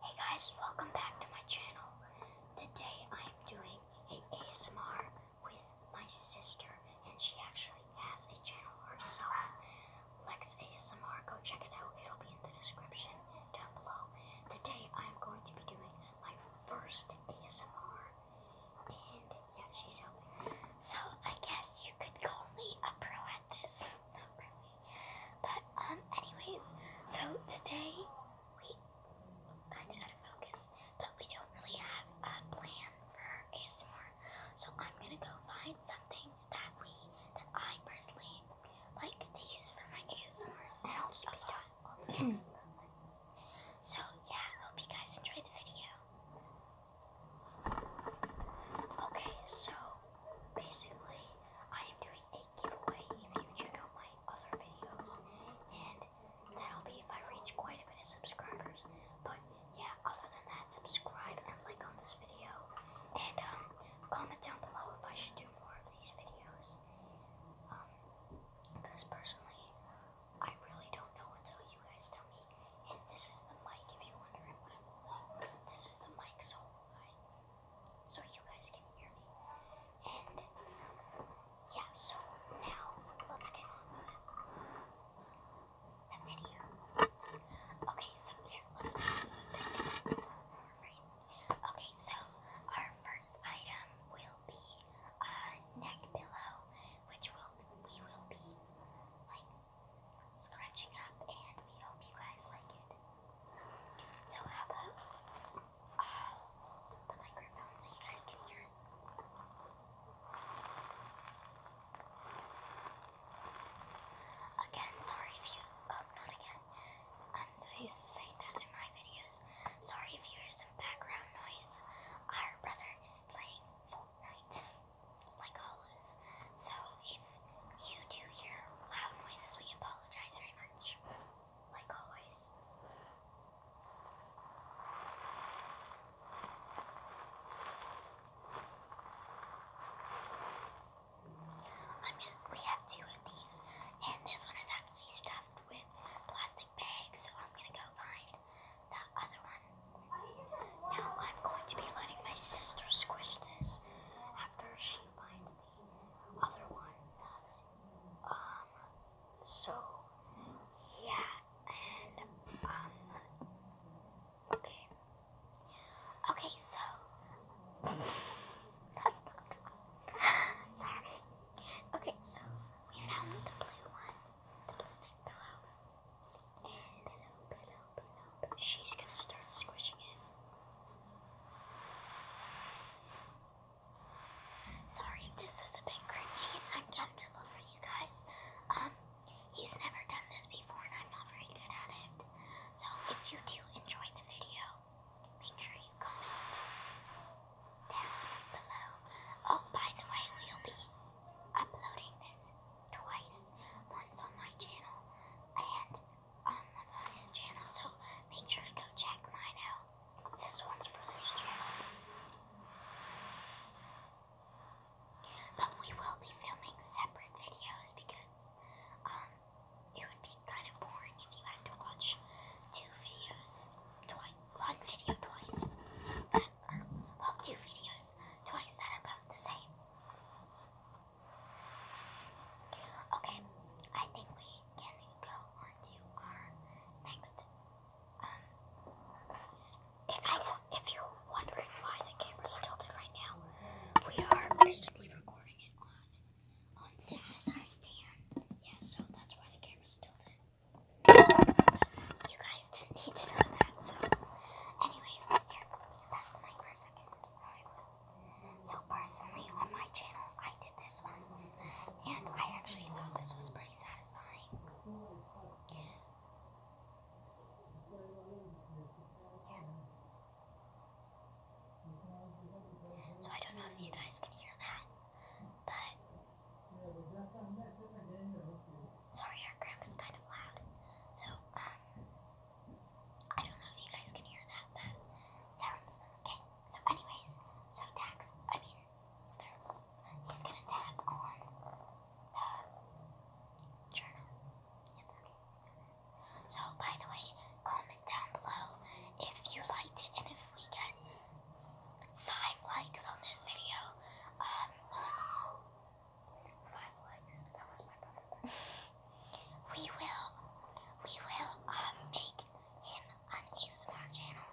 Hey guys, welcome back to my channel. Today I'm doing a ASMR with my sister and she actually has a channel herself, Lex ASMR. Go check it out, it'll be in the description down below. Today I'm going to be doing my first ASMR and yeah, she's out. So I guess you could call me a pro at this. But um, anyways, so today we kind of out of focus, but we don't really have a plan for ASMR. So I'm gonna go find something that we, I personally like to use for my ASMR. And I'll just be done. so yeah, hope you guys enjoyed the video. Okay, so basically I am doing a giveaway if you check out my other videos, and that'll be if I reach quite a bit of subscribers. But yeah, other than that, subscribe and like on this video, and um, comment down below if I should do more of these videos. because um, personally, I really don't know until you guys tell me. And this is the mic, if you're wondering what I'm holding. This is the mic, so I so you guys can hear me. And yeah, so now let's get on the video. Okay, so here, Okay, so our first item will be a neck pillow, which will we will be like scratching up, and we hope you guys like it. So how about i the microphone so you guys can hear it? Again, sorry if you oh not again. I'm um, so used to saying that in my videos. Sorry if you hear some background noise. Our brother is playing Fortnite like always. So if you do hear loud noises, we apologize very much. Like always. I'm gonna, we have two of these, and this one is actually stuffed with plastic bags, so I'm gonna go find the other one. Now I'm going to be letting my sister squish this after she finds other one. Um, so, yeah, and, um, okay. Okay, so, Sorry. Okay, so, we found the blue one, the blue pillow she's gonna start squishing it. Sorry if this is a bit cringy and uncomfortable for you guys. Um, he's never done this before and I'm not very good at it. So if you do enjoy the video, make sure you comment down below. Oh, by the way, we'll be uploading this twice, once on my channel and um, that's on his channel, so make sure to go check mine out. This one's for this channel. But we will be filming separate videos because um, it would be kind of boring if you had to watch two videos, twi one video twice, that, or, um, two videos twice that are about the same. Okay, I think we can go on our next. Um, if, you're wondering why the camera's tilted right now, we are basically recording it on. On this is our stand. Yeah, so that's why the camera's tilted. You guys didn't need to know that. So, anyways, here, that's mine for second. So personally on my channel I did this once and I actually thought this was pretty satisfying. Yeah. Yeah. So I don't know if you guys can hear that, but sorry our crap is kind of loud. So um I don't know if you guys can hear that, but sounds okay. So, anyways, so Dax, I mean, he's gonna tap on the journal. It's okay. So, by the way, comment down below if you liked it and if we get five likes on this video. Um, five likes. That was my brother. we will, we will um, make him an ASMR channel,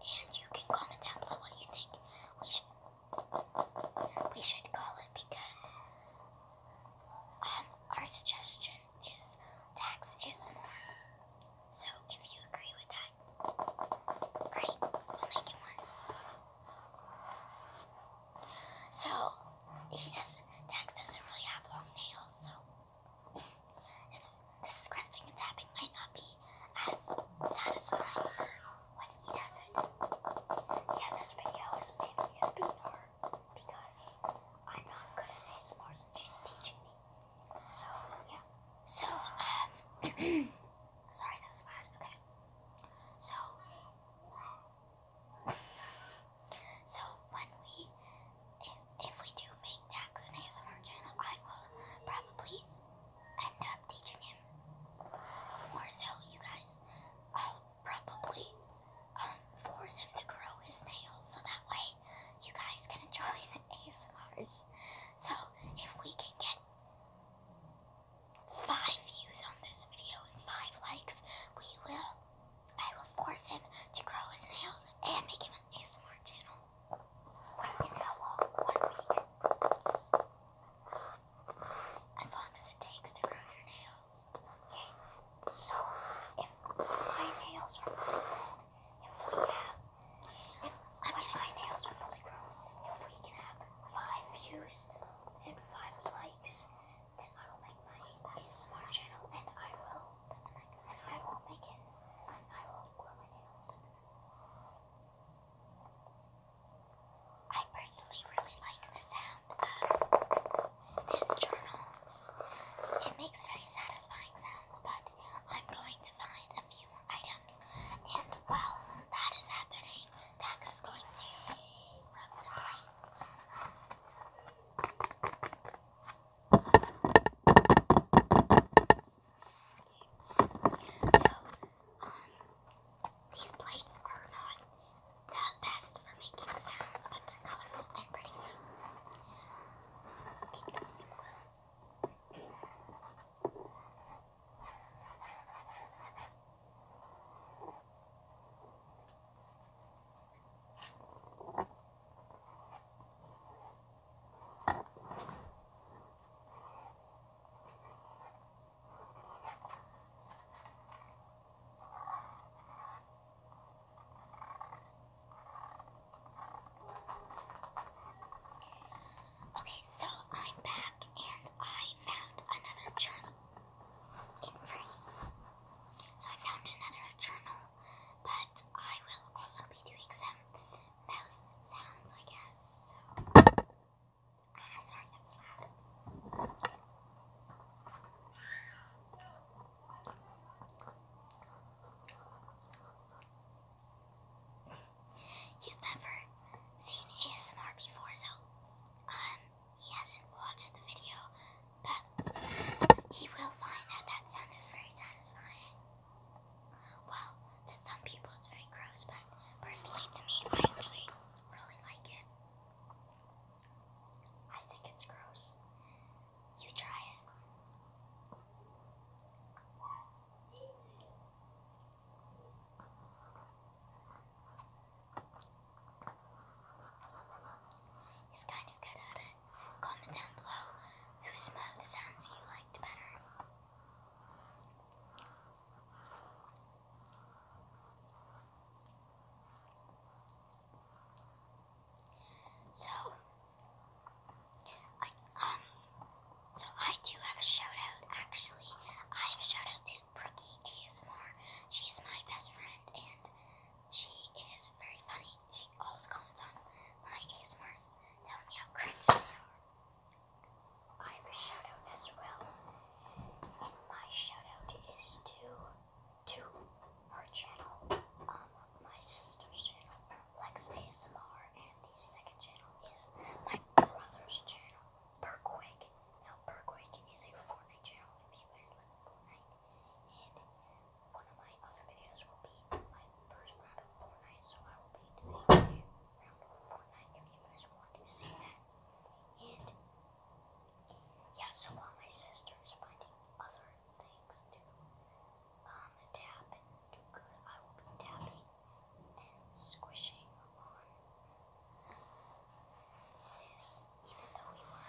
and you can comment down below what you think we should, we should call it because um, our suggestion is tax ASMR. So if you agree with that, great, we'll make it one. So he says Dax doesn't really have long nails, so this, this scratching and tapping might not be as satisfying when he does it. Yeah, this video is maybe gonna because I'm not good at ASMR since she's teaching me. So yeah. So um sorry that was loud, okay. So so when we, if, if we do make Dax an ASMR channel, I will probably end up teaching him more so, you guys. I'll probably um, force him to grow his nails so that way you guys can enjoy the ASMRs. So if we can get five views on this video and five likes, we will I will force him to grow his nails and make him an ASMR channel. In how long? One week. As long as it takes to grow your nails. Okay, so if my nails are fully grown, if we have, if, I mean my nails are fully grown, if we can have five views and five likes then I will make my ASMR channel and I will and I will make it I will grow my nails. I personally really like the sound of this journal. It makes very satisfying sounds, but I'm going to find a few more items. And while that is happening, Dax is going to rub the plate. Um, these plates are not the best for making sounds, but they're colorful and pretty. So. Okay. Okay, so I'm back and I found another journal in free. So I found another journal, but I will also be doing some mouth sounds, I guess. So ah, that was loud. never seen ASMR before, so um he hasn't watched the video, but he will find that that sound is very satisfying. Well, to some people it's very gross, but personally to me, I actually really like it. I think it's gross. You try it. He's kind of good at it. Comment down below whose mouth sounds you liked better. So, I, um, so I do have a shout out actually. I have a shout out to Brookie ASMR. She my best friend and she is very funny. She always comments on my ASMRs, telling me how cringy they are. I have a shout as well. And my shout is to to her channel, um, my sister's channel, Lex ASMR, and the second channel is my brother's channel, Bergwick. Now Bergwick is a Fortnite channel if you guys like Fortnite and one of my other videos will be my first round of Fortnite, so I will be doing a round of Fortnite if you guys want to see that. And yeah, so while my sister is finding other things to um, tap I will be tapping and squishing on this even though we were.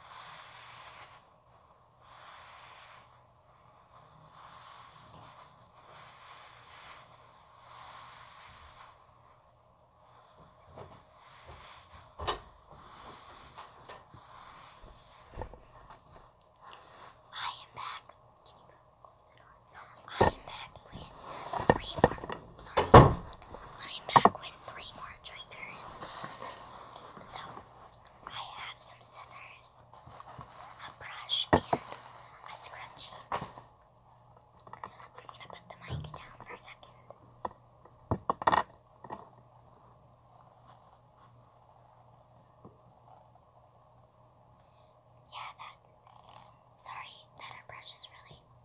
I am back. Can you close it on? I am back with three more. Sorry. I am back with three more triggers. So I have some scissors, a brush, and a scrunchie. I'm gonna put the mic down for a second. Yeah, that. Sorry, that our brush is really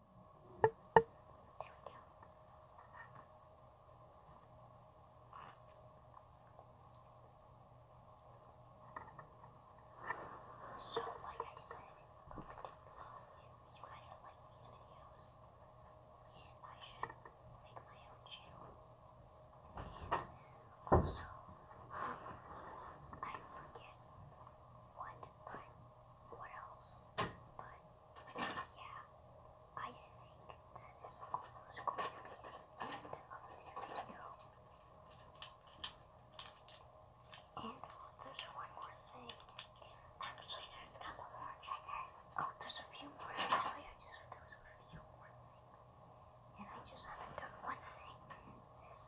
There So, like I said, if you guys like these videos, and I should make my own channel. And also, um, I forget what, but what else, but yeah, I think that is almost going to be the end of the video. And there's one more thing. Actually, there's a couple more triggers. Oh, there's a few more. I just there was a few more things. And I just haven't done one thing. This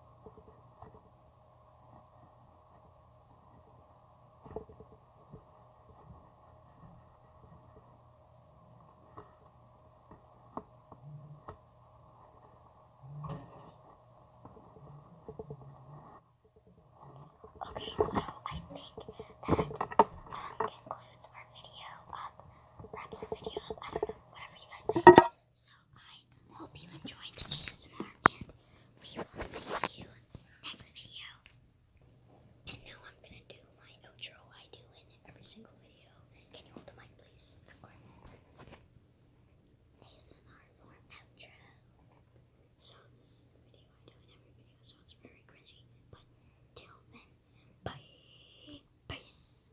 Okay, so I think that um, concludes our video um, up, wraps our video up, I don't know, whatever you guys say. So I hope you enjoyed the ASMR and we will see you next video. And now I'm going to do my outro I do in every single video. Can you hold the mic please? Of course. ASMR outro. So this is the video I do in every video so it's very cringy. But till then, bye. Peace.